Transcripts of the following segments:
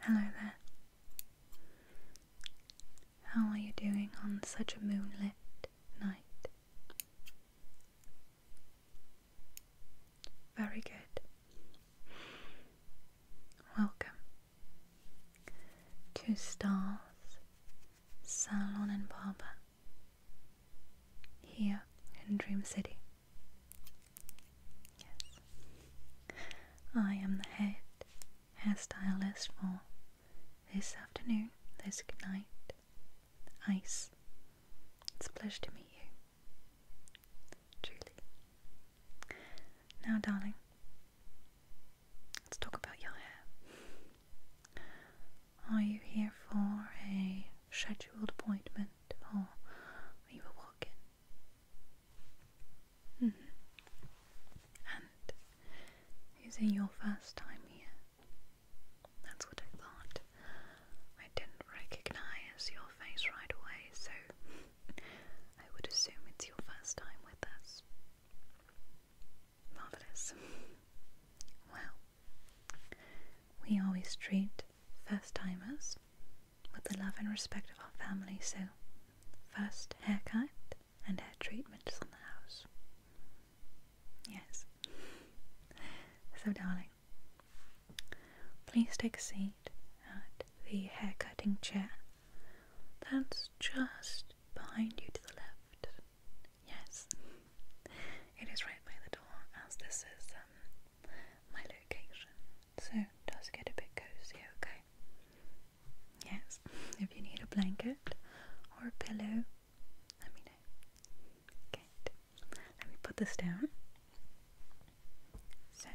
Hello there. How are you doing on such a moonlit night? Very good. Welcome to Stars Salon and Barber here in Dream City. Yes, I am the head hairstylist for this afternoon, this night, ice. It's a pleasure to meet you. Truly. Now, darling, let's talk about your hair. Are you here for a scheduled appointment or are you a walk in? Mm-hmm. And is it your first time here? That's what I thought. I didn't recognize your face right away, so I would assume it's your first time with us. Marvelous. Well, we always treat first timers with the love and respect of our family, so first haircut and hair treatments on the house. Yes. So, darling, please take a seat at the hair cutting chair that's just behind you to the left Yes, it is right by the door as this is um, my location, so does get a bit cozy, okay? Yes, if you need a blanket or a pillow, let me know. Good. Let me put this down. So,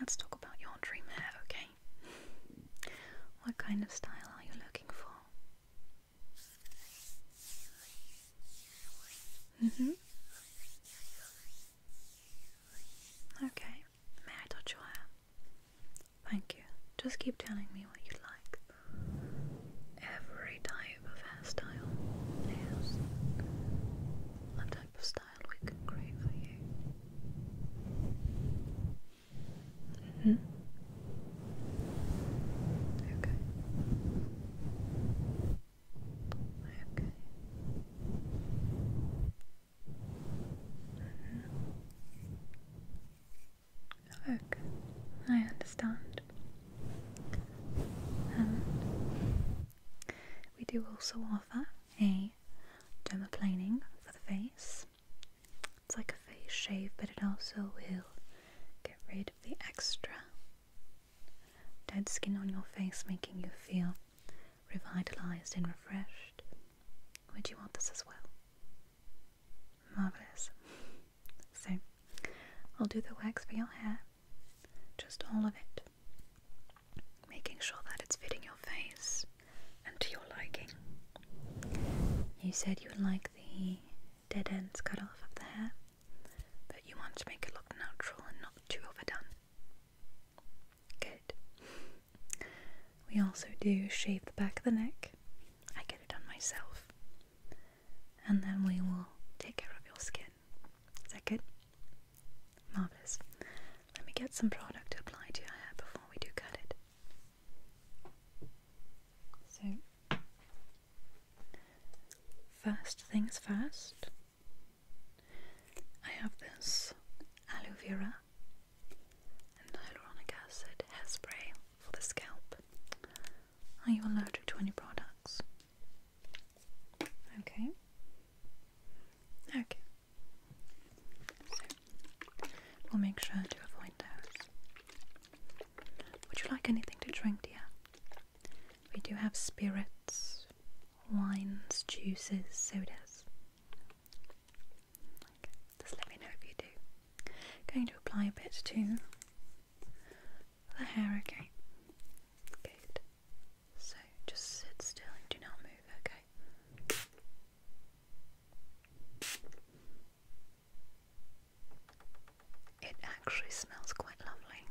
let's talk about your dream hair, okay? What kind of style are you looking for? Mm-hmm. Okay. May I touch your hair? Thank you. Just keep telling me what you like. Every type of hairstyle. Yes. That type of style we can create for you. Okay. Okay. Okay. I understand. Um, we do also offer a dermaplaning for the face. It's like a face shave, but it also will get rid of the extra dead skin on your face, making you feel revitalized and refreshed. Would you want this as well? Marvelous. So, I'll do the wax for your hair, just all of it, making sure that it's fitting your face and to your liking. You said you would like the dead ends cut off of the hair, but you want to make it look natural and not too overdone. Good. We also do shave the back of the neck. I get it done myself. And then we will take care of your skin. Is that good? Marvellous. Let me get some product to apply to your hair before we do cut it. So, First things first, I have this aloe vera and hyaluronic acid hairspray for the scalp. Are you allergic to any products? Okay. Okay. we'll make sure to avoid those. Would you like anything to drink, dear? We do have spirits, wines, juices, sodas. just let me know if you do. Going to apply a bit to the hair, okay? Good. So just sit still and do not move, okay? It actually smells quite lovely,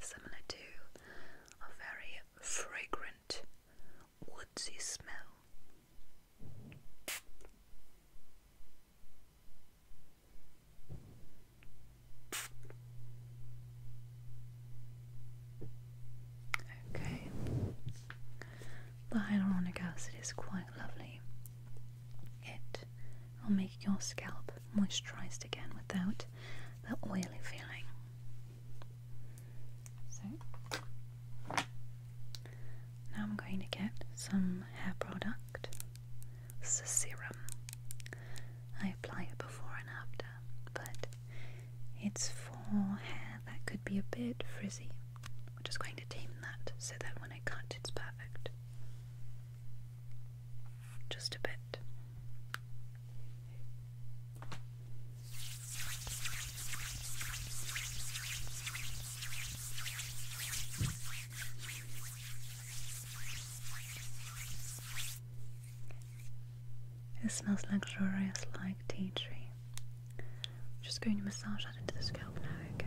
similar to a very fragrant woodsy smell. Okay, the hyaluronic acid is quite lovely it will make your scalp moisturized again without the oily feeling. So, now I'm going to get some hair product. This is a serum. I apply it before and after, but it's for hair that could be a bit frizzy. We're just going to tame that so that when I cut, it's perfect. Just a bit. It smells luxurious like tea tree. just going to massage that into the scalp now, okay?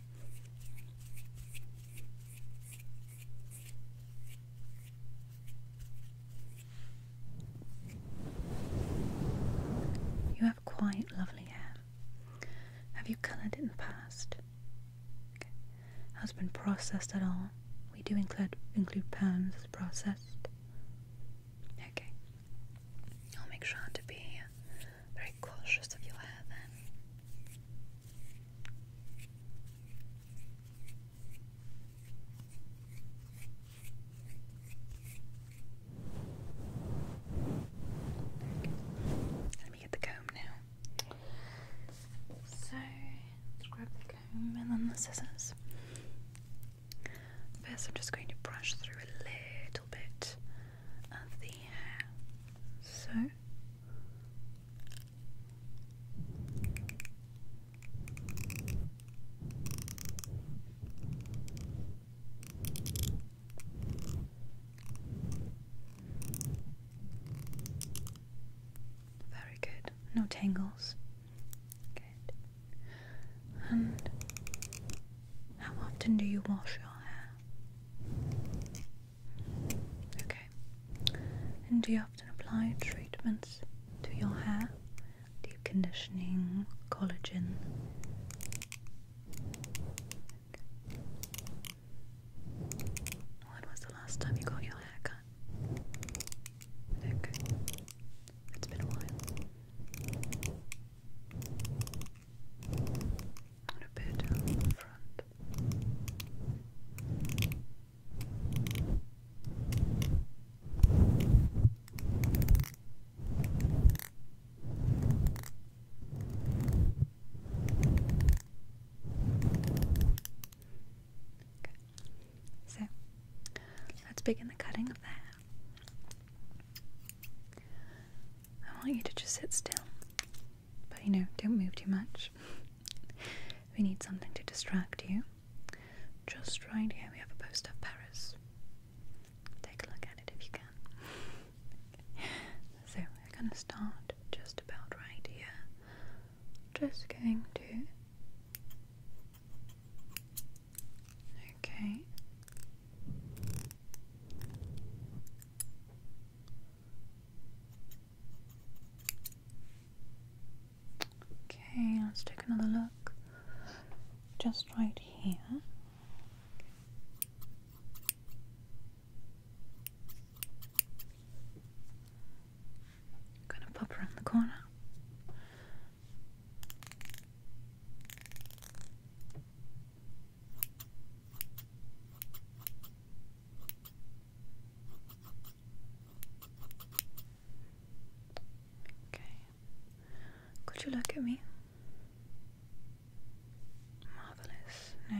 You have quite lovely hair. Have you coloured it in the past? Okay. Has been processed at all? We do include include perms as processed. Okay. I'll make sure to be very cautious of your hair then. Let me get the comb now. So, grab the comb and then the scissors. First, I'm just going to brush through a little bit of the hair. So, very good. No tangles. Good. And how often do you wash your hair? Okay. And do you often apply treatments to your hair? Deep conditioning, collagen? When was the last time you got your hair cut? Okay. It's been a while. a bit front. So let's begin the cutting of that. I want you to just sit still. But you know, don't move too much. we need something to distract you. Just right here, we have a poster of Paris. Take a look at it if you can. so, we're gonna start just about right here. Just going to. Okay. Okay, let's take another look just right here. gonna pop around the corner. Okay. Could you look at me? Marvelous. No.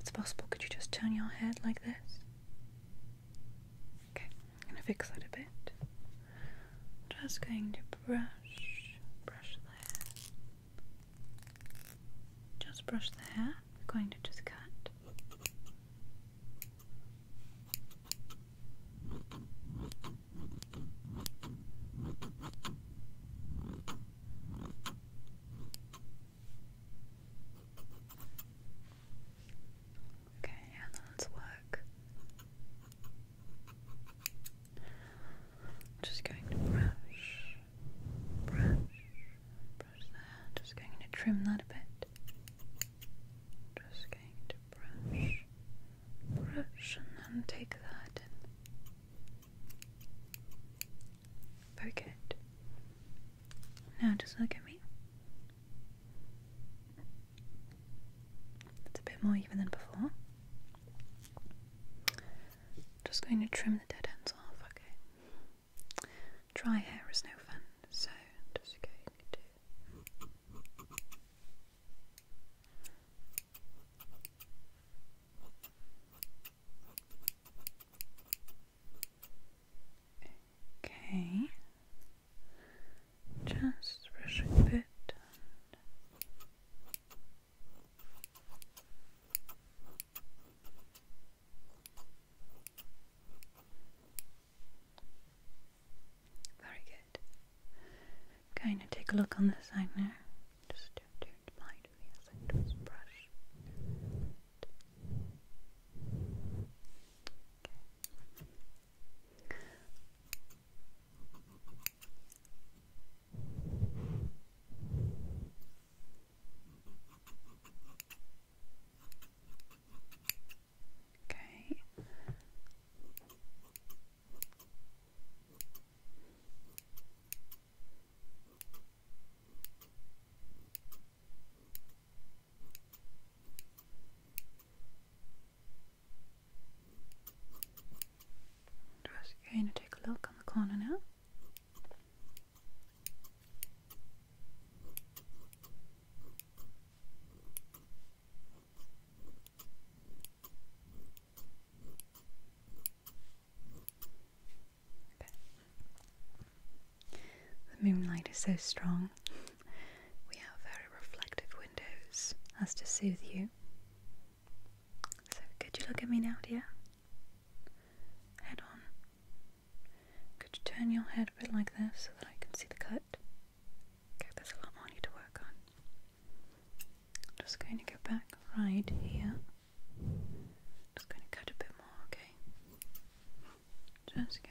it's possible, could you just turn your head like this? Okay, I'm gonna fix that a bit. Just going to brush, brush there. Just brush the hair. We're going to just cut. Okay, and then work. just going to brush, brush, just going to trim that a bit. Just going to brush, brush, and take that Very good. Now just look at me. It's a bit more even than before. Just going to trim the dead ends off, okay? Dry hair is no fun, so just going to. Okay, just brushing a bit. Very good. Okay, now take a look on this side now. Just turn it blind to the other side brush. Okay. Just going to take a look on the corner now. The moonlight is so strong. We have very reflective windows as to soothe you. So, could you look at me now, dear? head on. Could you turn your head a bit like this so that I can see the cut? Okay, there's a lot more I need to work on. just going to go back right here. Just going to cut a bit more, okay? Just going to.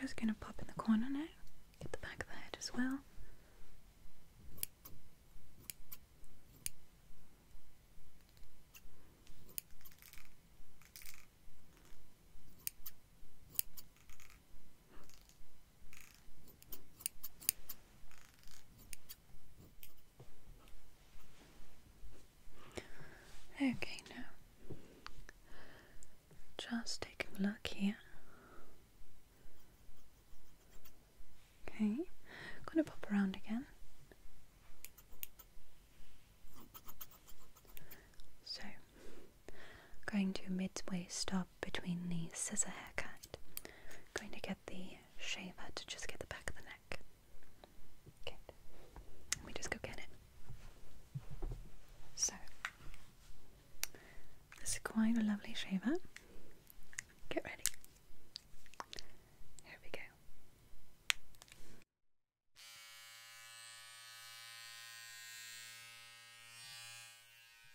Just going to pop in the corner now, get the back of the head as well. Okay, now just take a look here. Okay, gonna pop around again. So, going to midway stop between the scissor haircut. I'm going to get the shaver to just get the back of the neck. Okay, let me just go get it. So, this is quite a lovely shaver. Get ready. Here we go.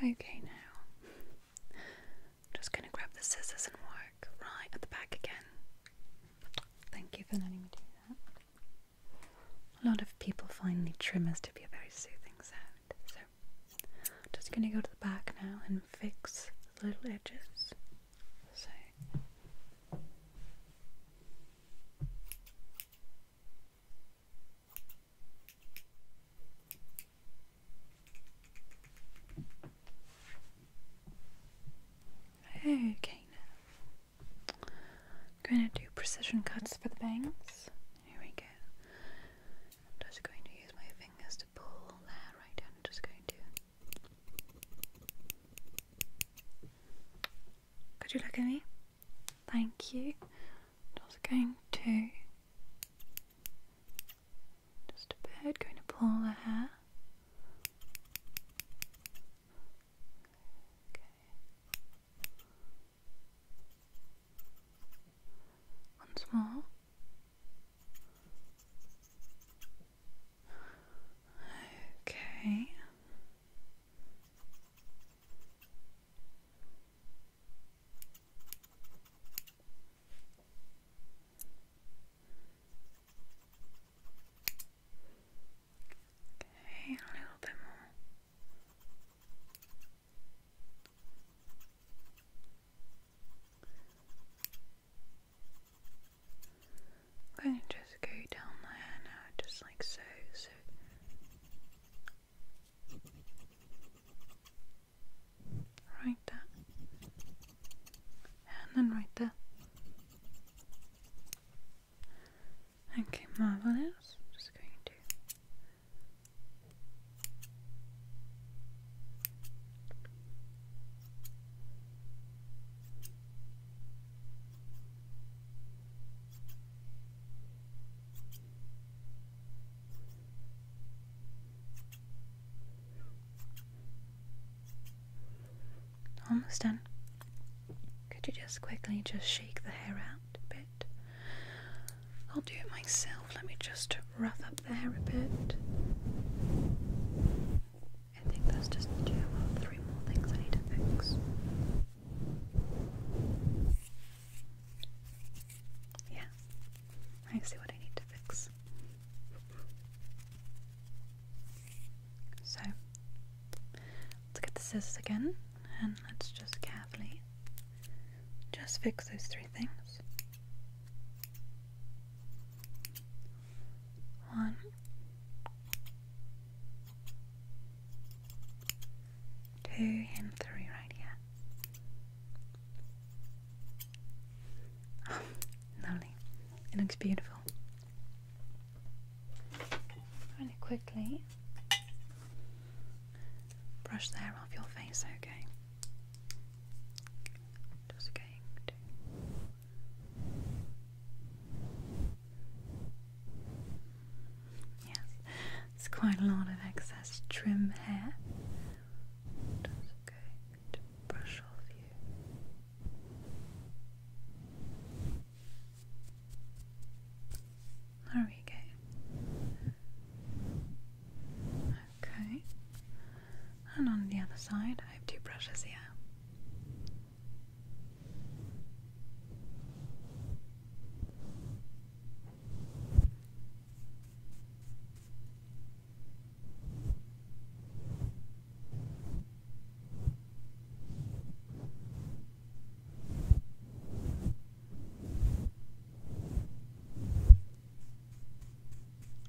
Okay, now I'm just going to grab the scissors and work right at the back again. Thank you for letting me do that. A lot of people find the trimmers to be a very soothing sound, so I'm just going to go to the back now and fix the little edges. So. Okay, I'm going to do precision cuts for the bangs. Here we go. just going to use my fingers to pull that right down. just going to. Could you look at me? Thank you. just going to. Just a bit, going to pull the hair. One more. Okay. Okay, a little bit more. I'm just go down my hair now, just like so, so. Right there and then right there. Okay, marvelous. Just going to Almost done. Could you just quickly just shake the hair out a bit? I'll do it myself. Let me just rough up the hair a bit. I think there's just two or three more things I need to fix. Yeah, I see what I need to fix. So let's get the scissors again and let's just carefully just fix those three things. One, two, and three right here. lovely. It looks beautiful really quickly brush there off your face, okay? Just going to. Yes, it's quite a lot of excess trim hair brush off you. There we go. Okay. And on the other side, I have two brushes here.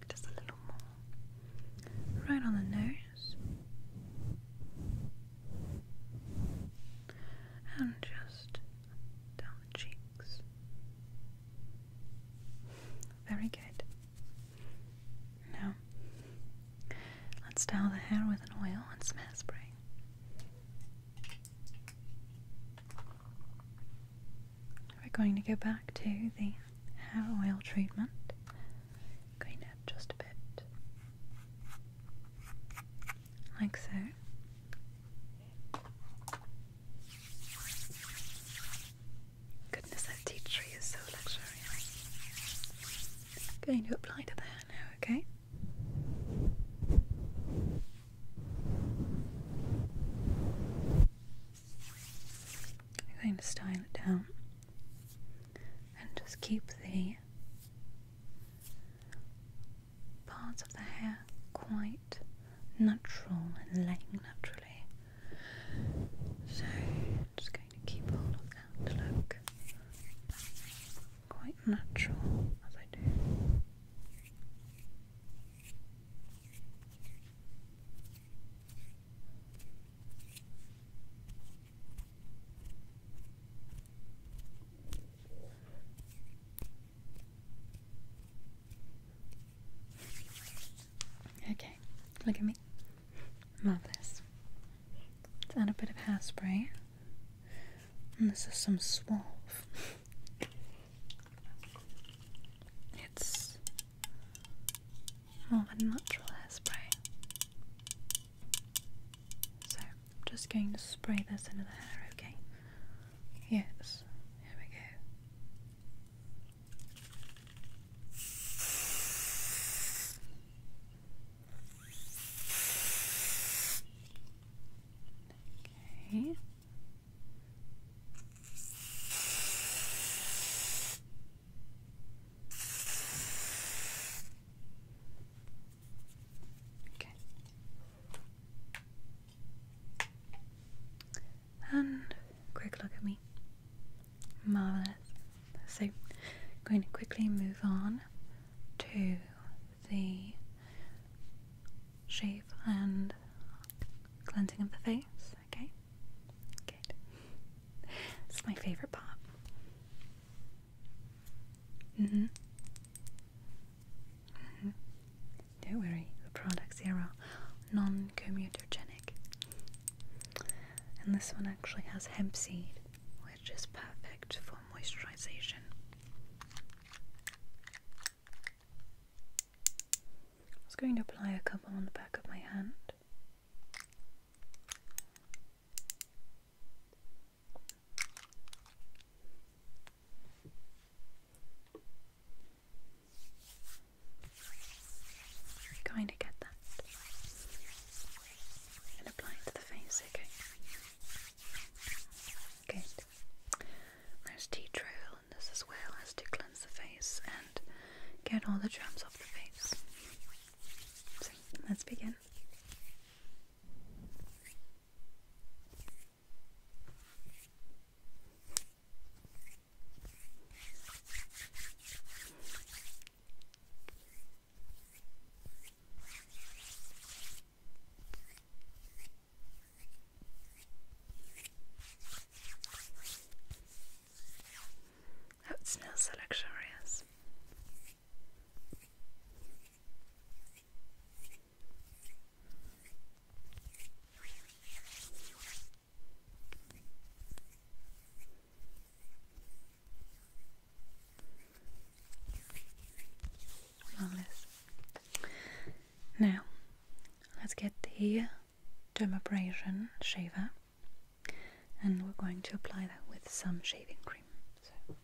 Just a little more right on the nose, and just down the cheeks. Very good. Now, let's style the hair with an oil and some hairspray. We're going to go back to the hair oil treatment. Going to just a bit. Like so. Goodness, that tea tree is so luxurious. going to apply to the hair now, okay? going to style it down and just keep the parts of the hair quite natural and laying naturally. So, just to keep hold of that to look quite natural as I do. Okay, look at me. Love this. Let's add a bit of hairspray. And this is some Suave. It's more of a natural hairspray. So I'm just going to spray this into the hair, okay? Yes, here we go. Okay. Okay. And quick look at me. So, I'm going to quickly move on to the shave and cleansing of the face. Okay, good. This is my favorite part. Mm-hmm. Mm-hmm. Don't worry, the products here are non-comedogenic. And this one actually has hemp seed, which is perfect for moisturization. I am going to apply a couple on the back of my hand. Going to get that and apply it to the face, okay? Good. There's tea trail and this as well as to cleanse the face and get all the germs off the face. let's begin. Oh, it smells so luxurious. Now, let's get the dermabrasion shaver, and we're going to apply that with some shaving cream. So,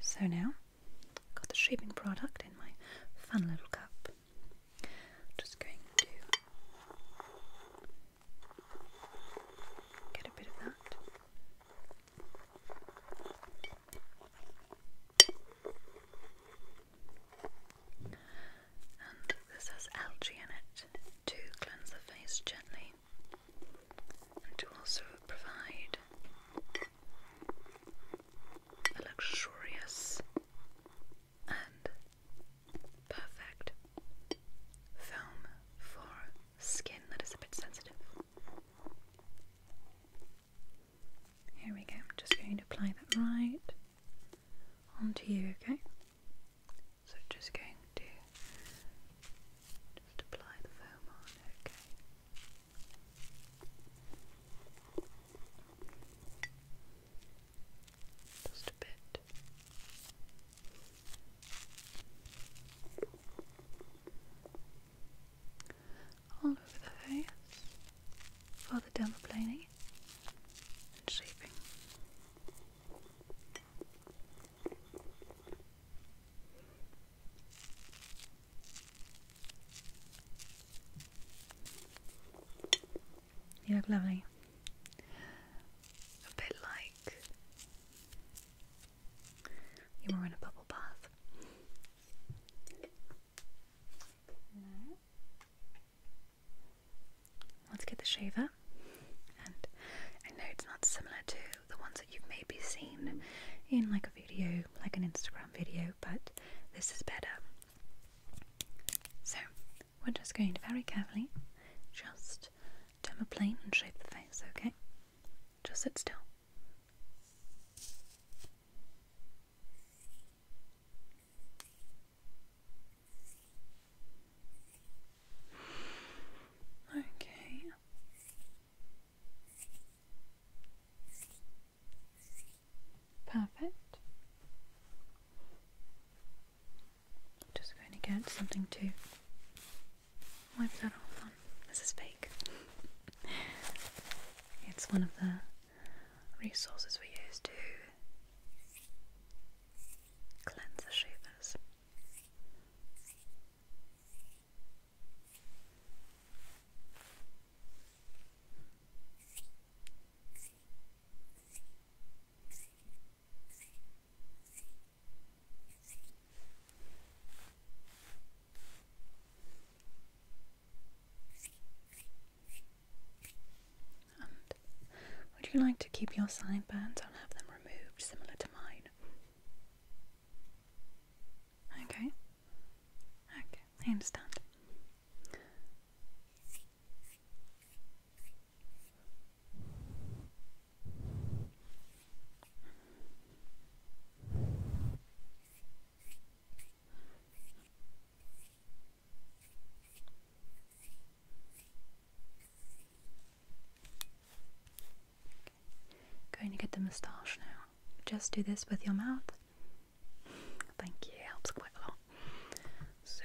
so now, got the shaving product in my fun little cup. Just going to Get a bit of that. And this has algae in it to cleanse the face gently and to also provide a luxurious and perfect foam for skin that is a bit sensitive. Here we go, I'm just going to apply that right onto you, okay? So just going to just apply the foam on, okay just a bit. All over the face for the dermaplaning and shaping. You look lovely. A bit like you were in a bubble bath. Let's get the shaver. I know it's not similar to the ones that you've maybe seen in like a video, like an Instagram video, but this is better. So we're just going very carefully just Jam a plane and shape the face, okay? Just sit still. Okay. Perfect. Just going to get something to wipe that off on. This is fake. it's one of the resources we use to cleanse the shivas would you like to keep your sideburns? I'll have them removed, similar to mine. Okay. Okay, I understand. Going to get the moustache now. Just do this with your mouth. Thank you, helps quite a lot. So,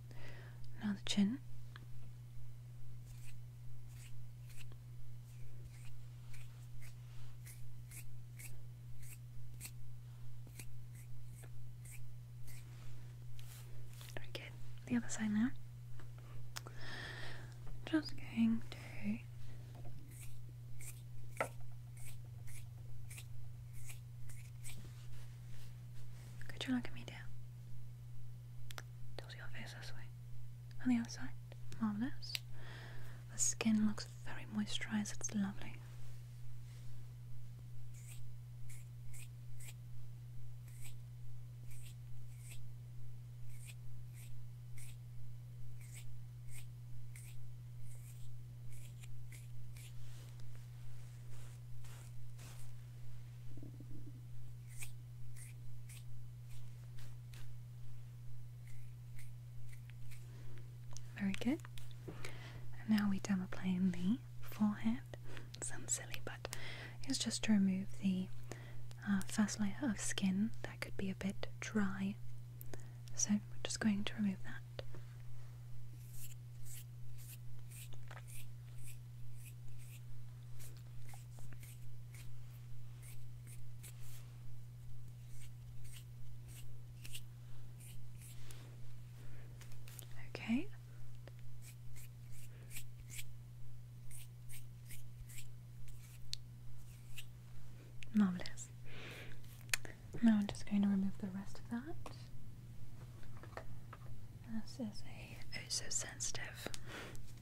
Now the chin. Very The other side now. Just going to. Could you look at me, dear? Tilt your face this way. On the other outside. Marvellous. The skin looks very moisturized, it's lovely. Very good. And now we demo plane the forehead. sounds silly, but it's just to remove the uh, first layer of skin that could be a bit dry. So we're just going to remove that. Okay. Marvelous. Now I'm just going to remove the rest of that. This is a oh so sensitive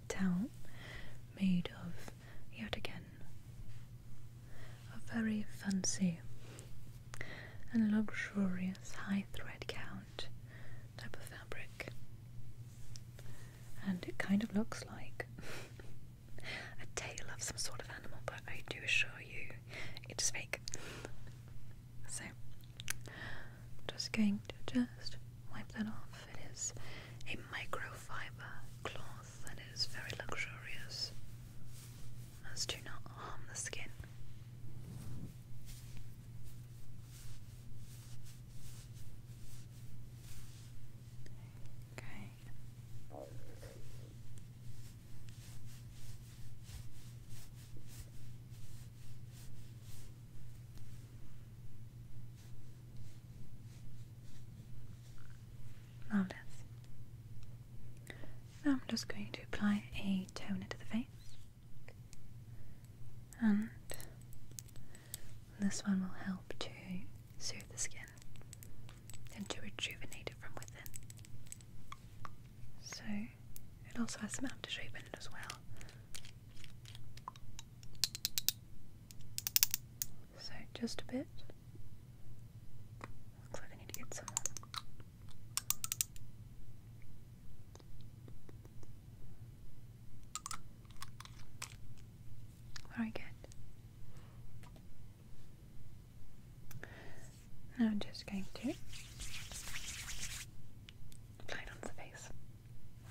towel made of, yet again, a very fancy and luxurious high thread count type of fabric. And it kind of looks like a tail of some sort of animal, but I do assure you it's fake. So just going to just wipe that off. It is a microfiber cloth and it is very luxurious as to not harm the skin. Okay. Marvellous. Now I'm just going to apply a toner to the face. And this one will help to soothe the skin and to rejuvenate it from within. So it also has some after shape in it as well. So just a bit. Looks like I need to get some on. Very good. Now I'm just going to apply it onto the face.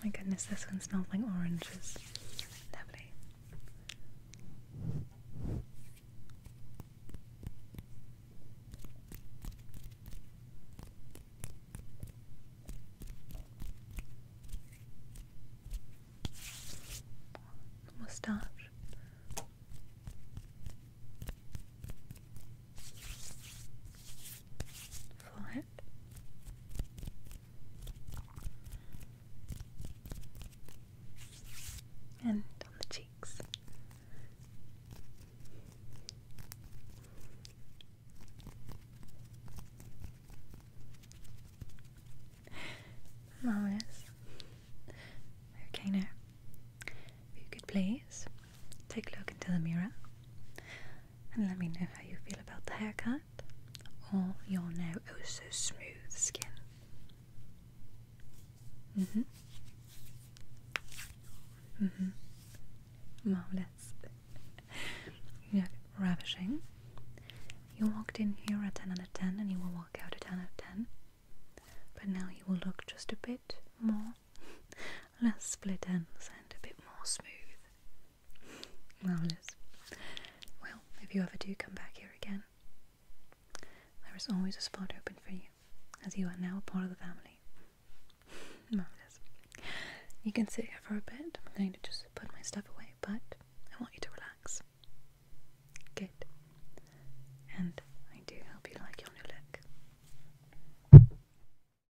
My goodness, this one smells like oranges. Lovely. Mustache flip and on the cheeks. Marvelous. Okay, now, if you could please take a look into the mirror and let me know how you feel about the haircut or your now oh so smooth skin. Mm hmm. Mm hmm. Marvelous. you look ravishing. You walked in here at 10 out of 10 and you will walk out at 10 out of 10. But now you will look just a bit more Let's split ends and a bit more smooth. Well, Liz, well, if you ever do come back here again, there is always a spot open for you, as you are now a part of the family. Marvelous. You can sit here for a bit. I'm going to just put my stuff away, but I want you to relax. Good. And I do hope you like your new look.